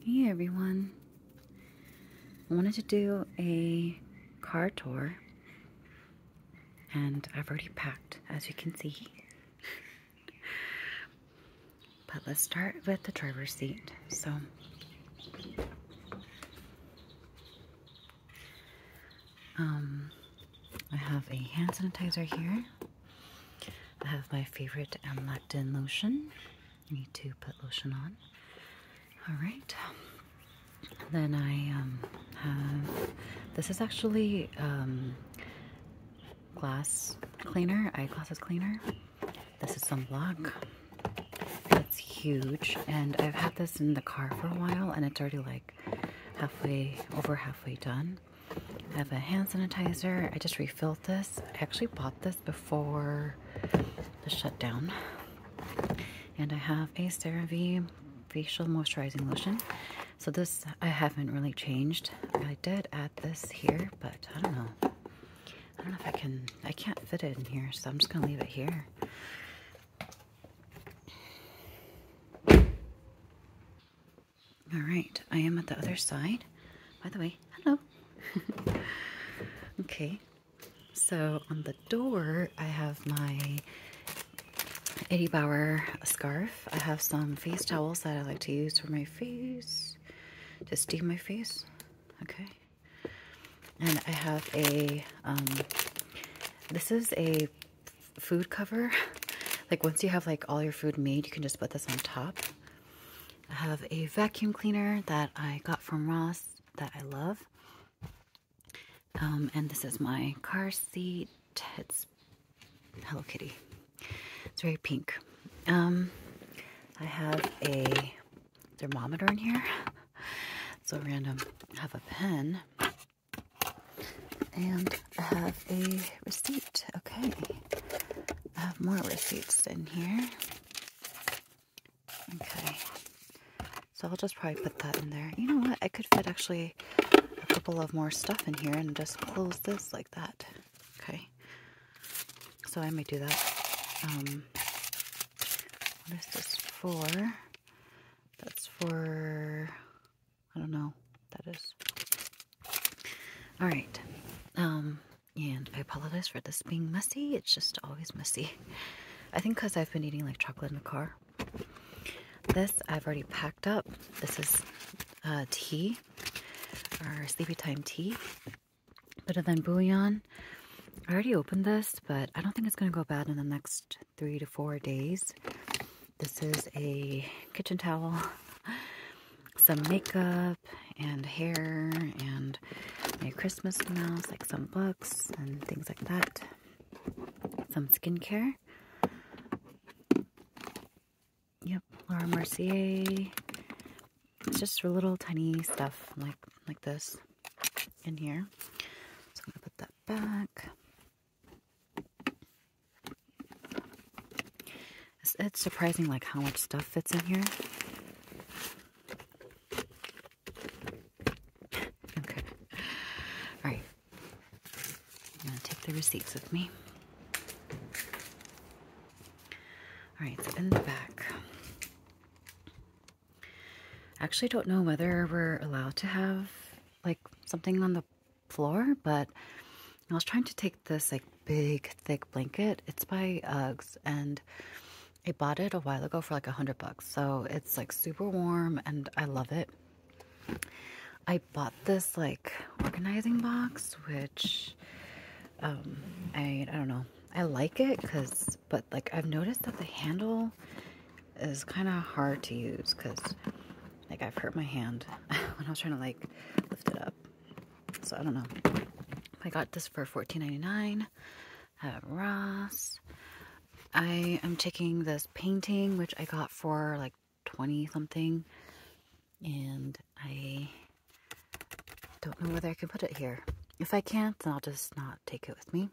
Hey everyone. I wanted to do a car tour and I've already packed as you can see. but let's start with the driver's seat. So um I have a hand sanitizer here I have my favorite amlectin lotion. I need to put lotion on. Alright. Then I um, have, this is actually um, glass cleaner, eyeglasses cleaner. This is some block that's huge and I've had this in the car for a while and it's already like halfway, over halfway done. I have a hand sanitizer. I just refilled this. I actually bought this before the shutdown. And I have a CeraVe facial moisturizing lotion. So this I haven't really changed. I did add this here, but I don't know. I don't know if I can, I can't fit it in here, so I'm just gonna leave it here. All right, I am at the other side. By the way, hello. okay, so on the door, I have my Eddie Bauer scarf. I have some face towels that I like to use for my face, to steam my face. Okay. And I have a, um, this is a food cover. Like once you have like all your food made, you can just put this on top. I have a vacuum cleaner that I got from Ross that I love. Um, and this is my car seat. It's Hello Kitty. It's very pink. Um, I have a thermometer in here. so random. I have a pen. And I have a receipt. Okay. I have more receipts in here. Okay. So I'll just probably put that in there. You know what? I could fit actually a couple of more stuff in here and just close this like that. Okay. So I may do that. Um, what is this for? That's for, I don't know that is. All right. Um, and I apologize for this being messy. It's just always messy. I think because I've been eating like chocolate in the car. This I've already packed up. This is uh, tea, our sleepy time tea. Better than bouillon. I already opened this, but I don't think it's going to go bad in the next three to four days. This is a kitchen towel, some makeup, and hair and my Christmas smells, like some books and things like that. Some skincare. Yep, Laura Mercier. It's just for little tiny stuff like like this in here. So I'm gonna put that back. It's, surprising like how much stuff fits in here. okay. All right. I'm going to take the receipts with me. All right, so in the back. I actually don't know whether we're allowed to have like something on the floor, but I was trying to take this like big thick blanket. It's by Uggs and I bought it a while ago for like a hundred bucks. So it's like super warm and I love it. I bought this like organizing box, which um, I I don't know. I like it because, but like I've noticed that the handle is kind of hard to use because like I've hurt my hand when I was trying to like lift it up. So I don't know. I got this for $14.99 at Ross. I am taking this painting, which I got for like 20 something. And I don't know whether I can put it here. If I can't, I'll just not take it with me.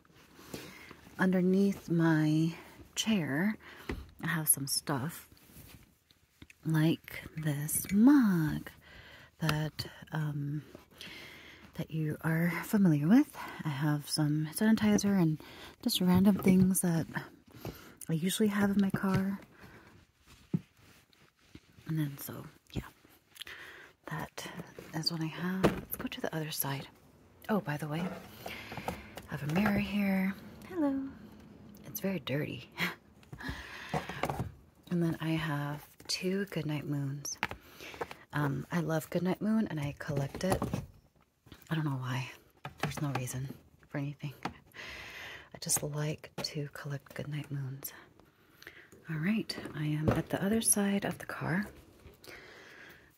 Underneath my chair, I have some stuff like this mug that um, that you are familiar with. I have some sanitizer and just random things that I usually have in my car. And then so, yeah, that is what I have. Let's go to the other side. Oh, by the way, I have a mirror here. Hello. It's very dirty. And then I have two Goodnight Moons. Um, I love Goodnight Moon and I collect it. I don't know why. There's no reason for anything. I just like to collect Goodnight Moons. All right, I am at the other side of the car.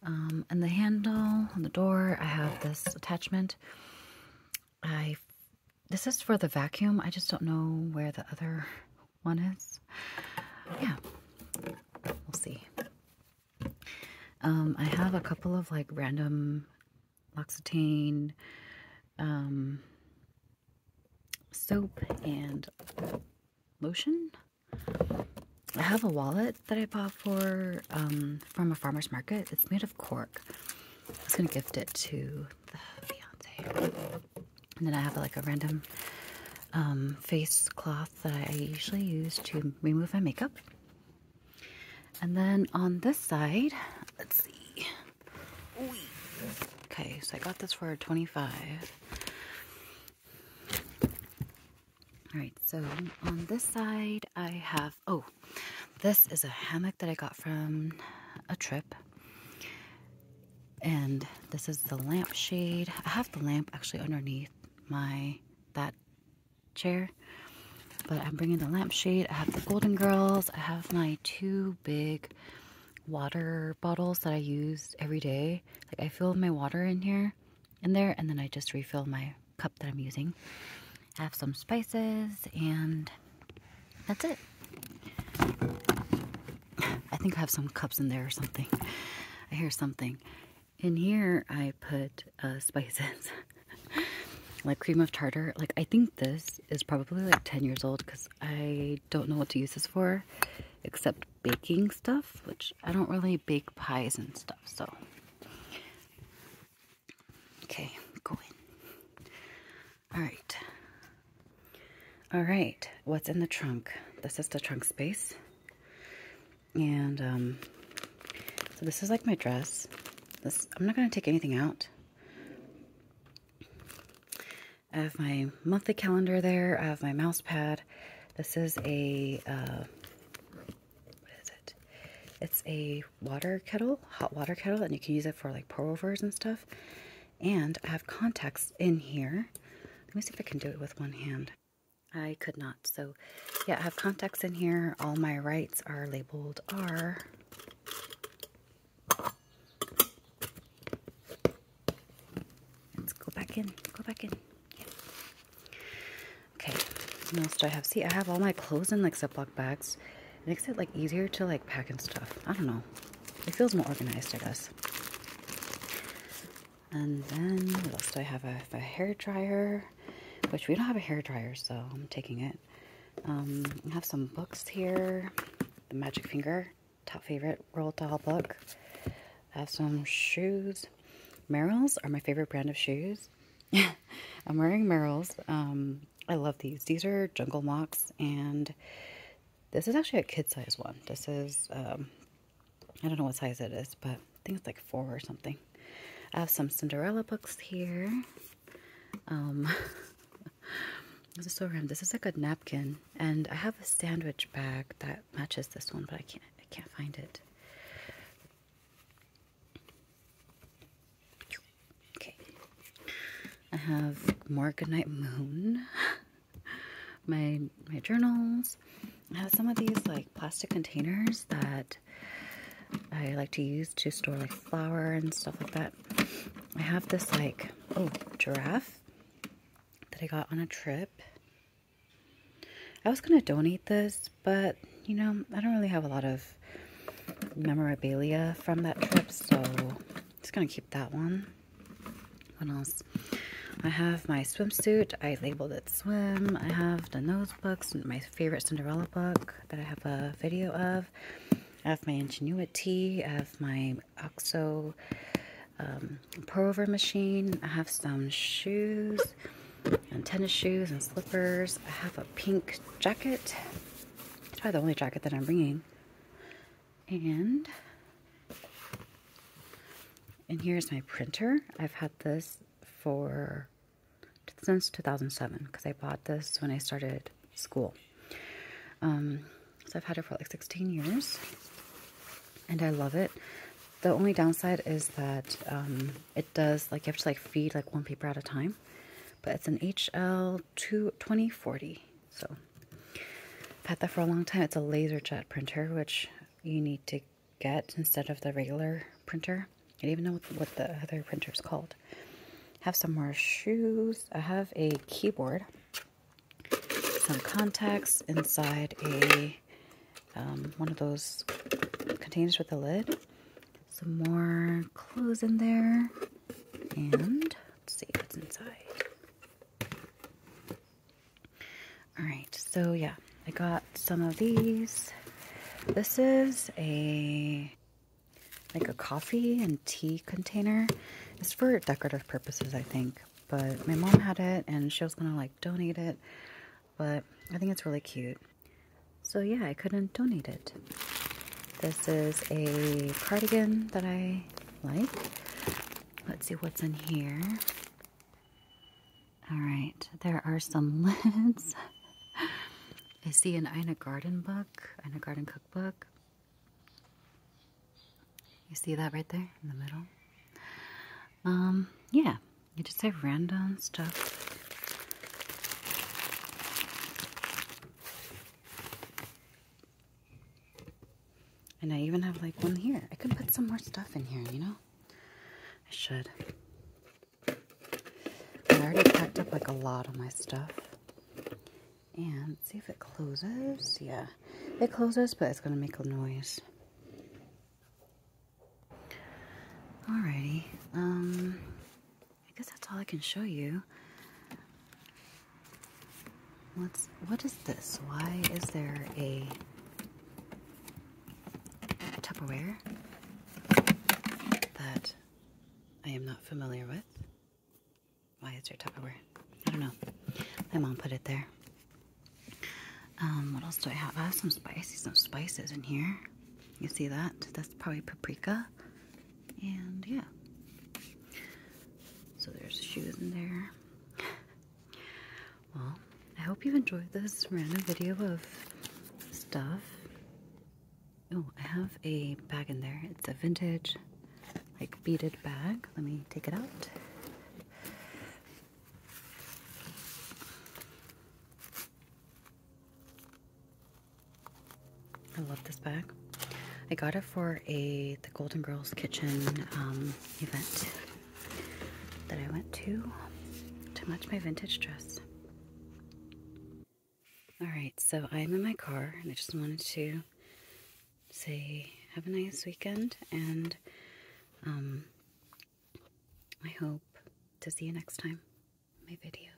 Um, and the handle on the door, I have this attachment. I this is for the vacuum. I just don't know where the other one is. Yeah, we'll see. Um, I have a couple of like random L'Occitane um, soap and lotion. I have a wallet that I bought for um, from a farmer's market. It's made of cork. I was gonna gift it to the fiance. And then I have like a random um, face cloth that I usually use to remove my makeup. And then on this side, let's see. Okay, so I got this for 25. All right, so on this side I have, oh, this is a hammock that I got from a trip and this is the lampshade. I have the lamp actually underneath my that chair, but I'm bringing the lampshade. I have the Golden Girls. I have my two big water bottles that I use every day. Like I fill my water in here, in there, and then I just refill my cup that I'm using. I have some spices and that's it. I think I have some cups in there or something. I hear something. In here, I put uh, spices like cream of tartar. Like, I think this is probably like 10 years old because I don't know what to use this for except baking stuff, which I don't really bake pies and stuff, so. Okay, go in. All right. All right, what's in the trunk? This is the trunk space. And um, so this is like my dress. This I'm not going to take anything out. I have my monthly calendar there. I have my mouse pad. This is a, uh, what is it? It's a water kettle, hot water kettle, and you can use it for like pour-overs and stuff. And I have contacts in here. Let me see if I can do it with one hand. I could not. So yeah, I have contacts in here. All my rights are labeled R. Let's go back in. Go back in. Okay. What else do I have? See, I have all my clothes in like ziplock bags makes it like easier to like pack and stuff. I don't know. It feels more organized, I guess. And then what else do I have? a hair dryer, which we don't have a hair dryer, so I'm taking it. Um, I have some books here. The Magic Finger, top favorite Roald Dahl book. I have some shoes. Merrell's are my favorite brand of shoes. I'm wearing Merrell's. Um, I love these. These are Jungle Mocs, and this is actually a kid size one. This is, um, I don't know what size it is, but I think it's like four or something. I have some Cinderella books here. Um, this is a so random. This is a good napkin, and I have a sandwich bag that matches this one, but I can't, I can't find it. Okay, I have more Goodnight Moon, my my journals. I have some of these like plastic containers that I like to use to store like flour and stuff like that. I have this like, oh, giraffe that I got on a trip. I was going to donate this, but you know, I don't really have a lot of memorabilia from that trip, so I'm just going to keep that one. What else? I have my swimsuit. I labeled it swim. I have the nose books, my favorite Cinderella book that I have a video of. I have my Ingenuity. I have my OXO um, pullover machine. I have some shoes and tennis shoes and slippers. I have a pink jacket. It's probably the only jacket that I'm bringing. And, and here's my printer. I've had this for, since 2007, because I bought this when I started school. Um, so I've had it for like 16 years, and I love it. The only downside is that um, it does, like, you have to, like, feed, like, one paper at a time. But it's an HL to 2040. So I've had that for a long time. It's a LaserJet printer, which you need to get instead of the regular printer. I don't even know what, the other printer is called. Have some more shoes. I have a keyboard, some contacts inside a um, one of those containers with a lid. Some more clothes in there, and let's see what's inside. Alright, so yeah, I got some of these. This is a like a coffee and tea container. It's for decorative purposes, I think. But my mom had it and she was gonna like donate it. But I think it's really cute. So yeah, I couldn't donate it. This is a cardigan that I like. Let's see what's in here. All right, there are some lids. I see an Ina Garden book, Ina Garden cookbook. You see that right there in the middle? Um, yeah, you just have random stuff. And I even have like one here. I could put some more stuff in here, you know? I should. I already packed up like a lot of my stuff. And see if it closes. Yeah, it closes, but it's going to make a noise. Alrighty. Um, I guess that's all I can show you. What's what is this? Why is there a Tupperware that I am not familiar with? Why is there Tupperware? I don't know. My mom put it there. Um, what else do I have? I have some spicy, some spices in here. You see that? That's probably paprika. And yeah. So there's shoes in there. well, I hope you enjoyed this random video of stuff. Oh, I have a bag in there. It's a vintage, like, beaded bag. Let me take it out. I love this bag. I got it for a the Golden Girls Kitchen um, event that I went to to match my vintage dress. All right, so I'm in my car and I just wanted to say have a nice weekend and um, I hope to see you next time my videos.